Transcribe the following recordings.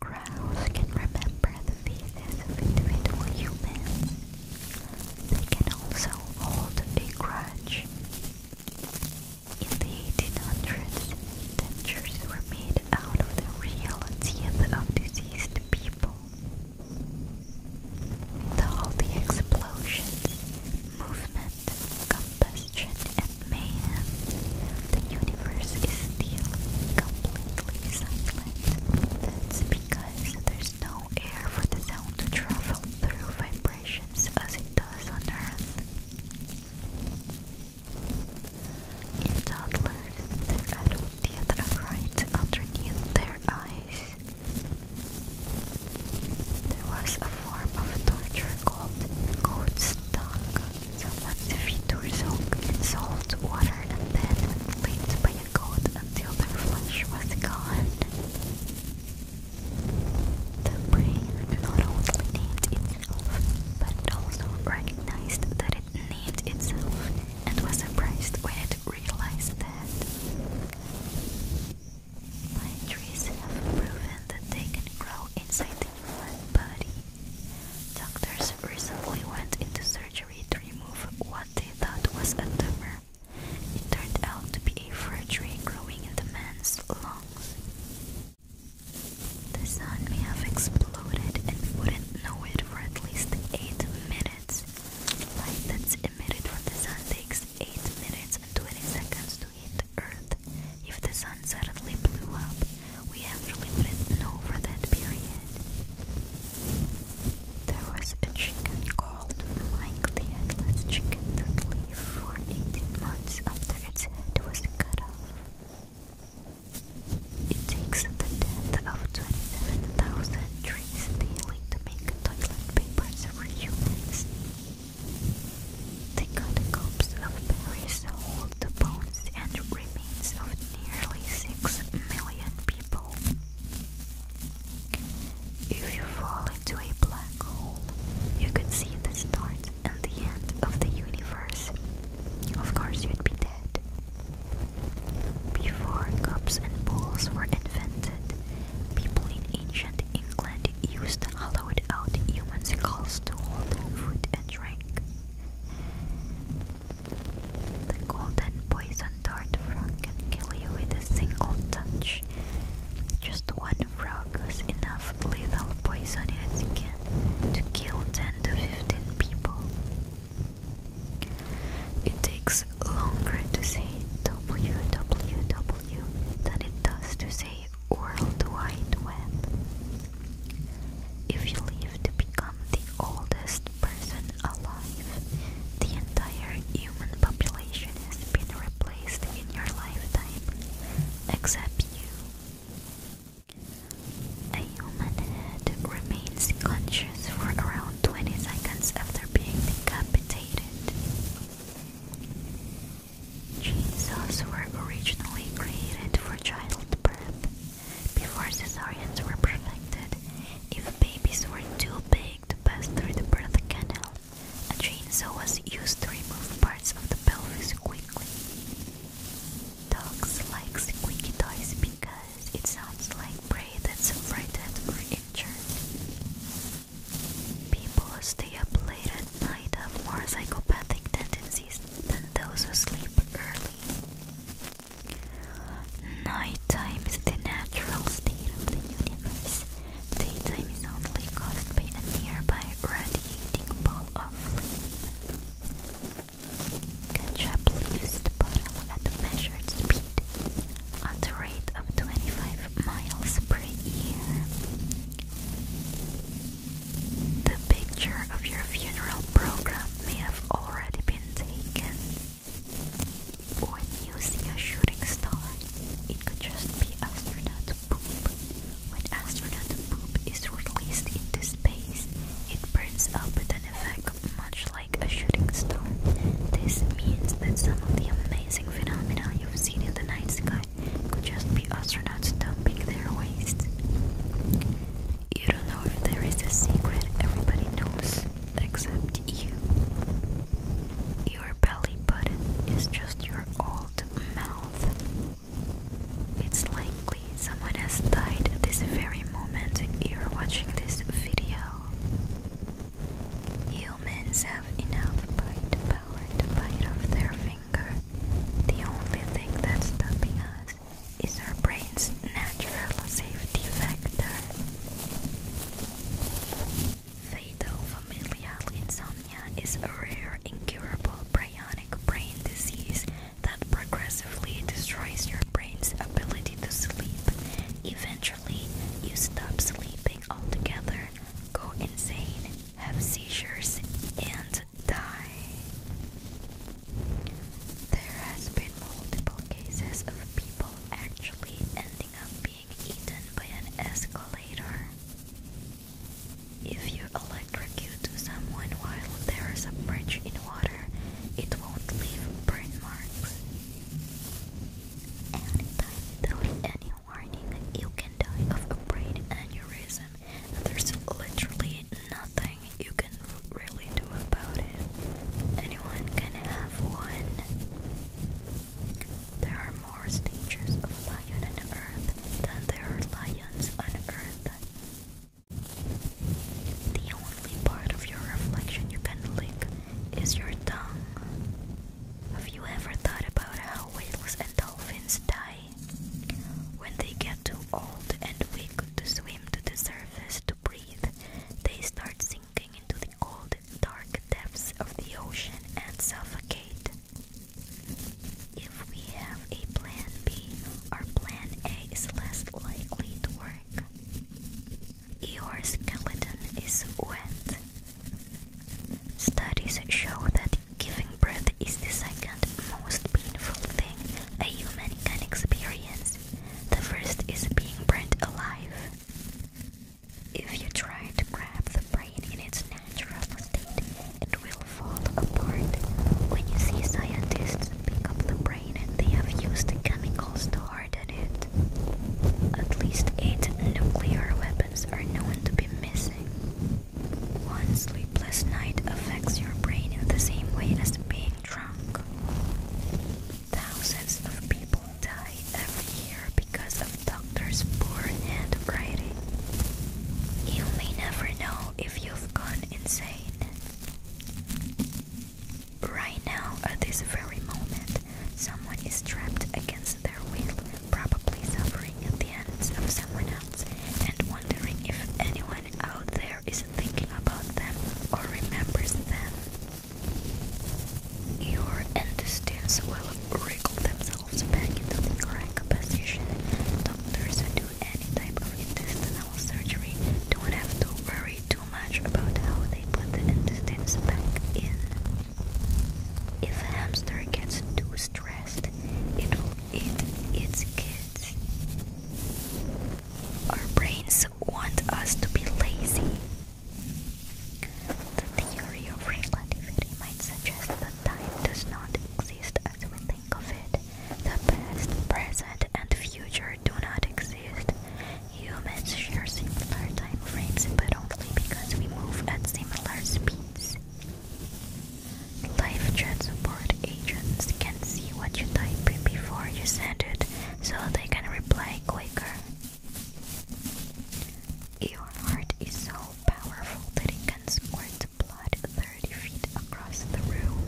Crows can remember the faces of individual humans. They can also hold a grudge. In the 1800s, dentures were made out of the real teeth of deceased people. With all explosions, movement, compass, confusion and mayhem, the universe is still completely silent. That's because there's no air for the sound to travel through vibrations as it does on Earth. In toddlers, their adult teeth are right underneath their eyes. There was a form of torture called goat's tongue so once the features soaked in salt water and then laid by a coat until their flesh was gone. The brain not only named itself, but also recognized that it named itself and was surprised when it realized that. Pine trees have proven that they can grow inside Doctors recently went into surgery to remove what they thought was a tumor. It turned out to be a fir tree growing in the man's lungs. The sun may have exploded and wouldn't know it for at least 8 minutes. Light that's emitted from the sun takes 8 minutes and 20 seconds to hit Earth. If the sun suddenly blew up, we actually wouldn't know for that period. There was chicken called Mike the Chicken lived for 18 months after its was cut off. It takes the death of 27,000 trees daily to make toilet papers for humans. The catacombs of Paris hold the bones and remains of nearly 6 million people. If you fall into a black hole, you could see the start and the end of the universe. Of course, you'd be dead. Before cups and bowls were invented, people in ancient England used hollowed out human skulls to hold food and drink. The golden poison dart frog can kill you with a single touch. Just one frog has enough lethal poison in its skin to kill 10 to 15 people. It takes longer to say www than it does to say World Wide Web. If you live to become the oldest person alive, the entire human population has been replaced in your lifetime, except you. A human head remains conscious for around 20 seconds after being decapitated. Chainsaws were originally created for childbirth. Before cesareans were perfected, if babies were too big to pass through the birth canal, a chainsaw was used to remove parts of the pelvis quickly. Dogs like squeaky toys because it sounds like prey that's frightened or People who stay up late at night have more psychopathic tendencies than those who sleep early. Nighttime is the natural state of the universe. Daytime is only caused by a nearby radiating ball of flame. Ketchup leaves the bottle at a measured speed at the rate of 25 miles per year. The picture of your funeral program may have already been taken. When you see a shooting star, it could just be astronaut poop. When astronaut poop is released into space, it burns up with an effect much like like a shooting star. This means that some of the amazing phenomena you've seen in the night sky could just be astronauts dumping their waste. You don't know if there is a secret everybody knows except you. Your belly button is just your old mouth. It's likely someone has died this very every moment you're watching this video. Humans have enough bite power to bite off their finger. The only thing that's stopping us is our brain's natural safety factor. Fatal familial insomnia is a rare incurable prionic brain disease that progressively destroys your brain's ability to sleep. Eventually, you stop sleeping altogether, go insane, have seizures, and die. There has been multiple cases of people actually ending up being eaten by an escalator. If you electrocute to someone while there is a bridge in water, it won't leave burn marks. Anytime without any warning, you can die of a brain aneurysm, there's literally nothing you can really do about it. Anyone can have one. There are more stages of lion earth than there are lions on earth. The only part of your reflection you can lick is your tongue. Have you ever thought about how whales and dolphins die? When they get too old and weak to swim to the surface to breathe, they start sinking into the cold, dark depths of the ocean and suffocate. If we have a plan B, our plan A is less likely to work. Your skeleton is wet. Studies show that giving birth is the second most painful thing a human can experience. The first is being burnt alive. If you try to grab the brain in its neck natural state. It will fall apart when you see scientists pick up the brain and they have used chemicals to harden it. At least eight nuclear weapons are known to be missing. One sleepless night affects your brain in the same way as being drunk. Thousands of people die every year because of doctors' poor hand you may never know if you've gone insane. Right now, at this very moment, someone is trapped against their will, probably suffering at the hands of someone else, and wondering if anyone out there is thinking about them or remembers them. Your intestines will wriggle themselves themselves back into the correct position. Doctors who do any type of intestinal surgery don't have to worry too much about how they put the intestines back in. If a hamster gets too stressed, it will eat its kids. Our brains want us to be lazy. The theory of relativity might suggest that time does not exist as we think of it. The past, present, and future do not exist. Humans share similar time frames, but only because we move at similar speeds. Life chat support agents can see what you type before you send it, so they can reply quicker. Your heart is so powerful that it can squirt blood 30 feet across the room.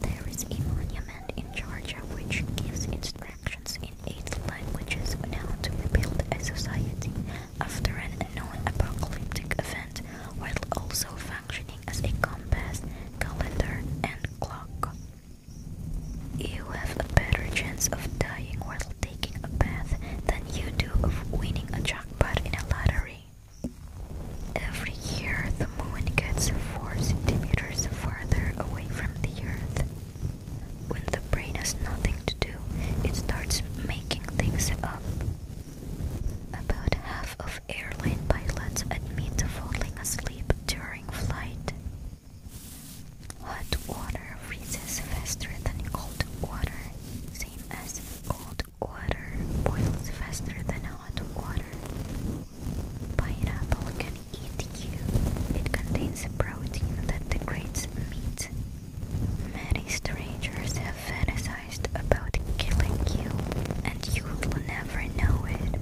There is a monument in Georgia which gives instructions in eight languages on how to rebuild a society after an unknown apocalyptic event while also functioning as a compass, calendar, and clock. You have a better chance of dying while taking a bath than you do of winning a jackpot in a lottery. Every year, the moon gets 4 centimeters farther away from the earth. When the brain has nothing to do, it starts making things up. About half of airline pilots admit to falling asleep during flight. Hot water freezes faster than cold water, same as cold water boils faster than hot water. Pineapple can eat you. It contains protein that degrades meat. Many strangers have fantasized about killing you, and you will never know it.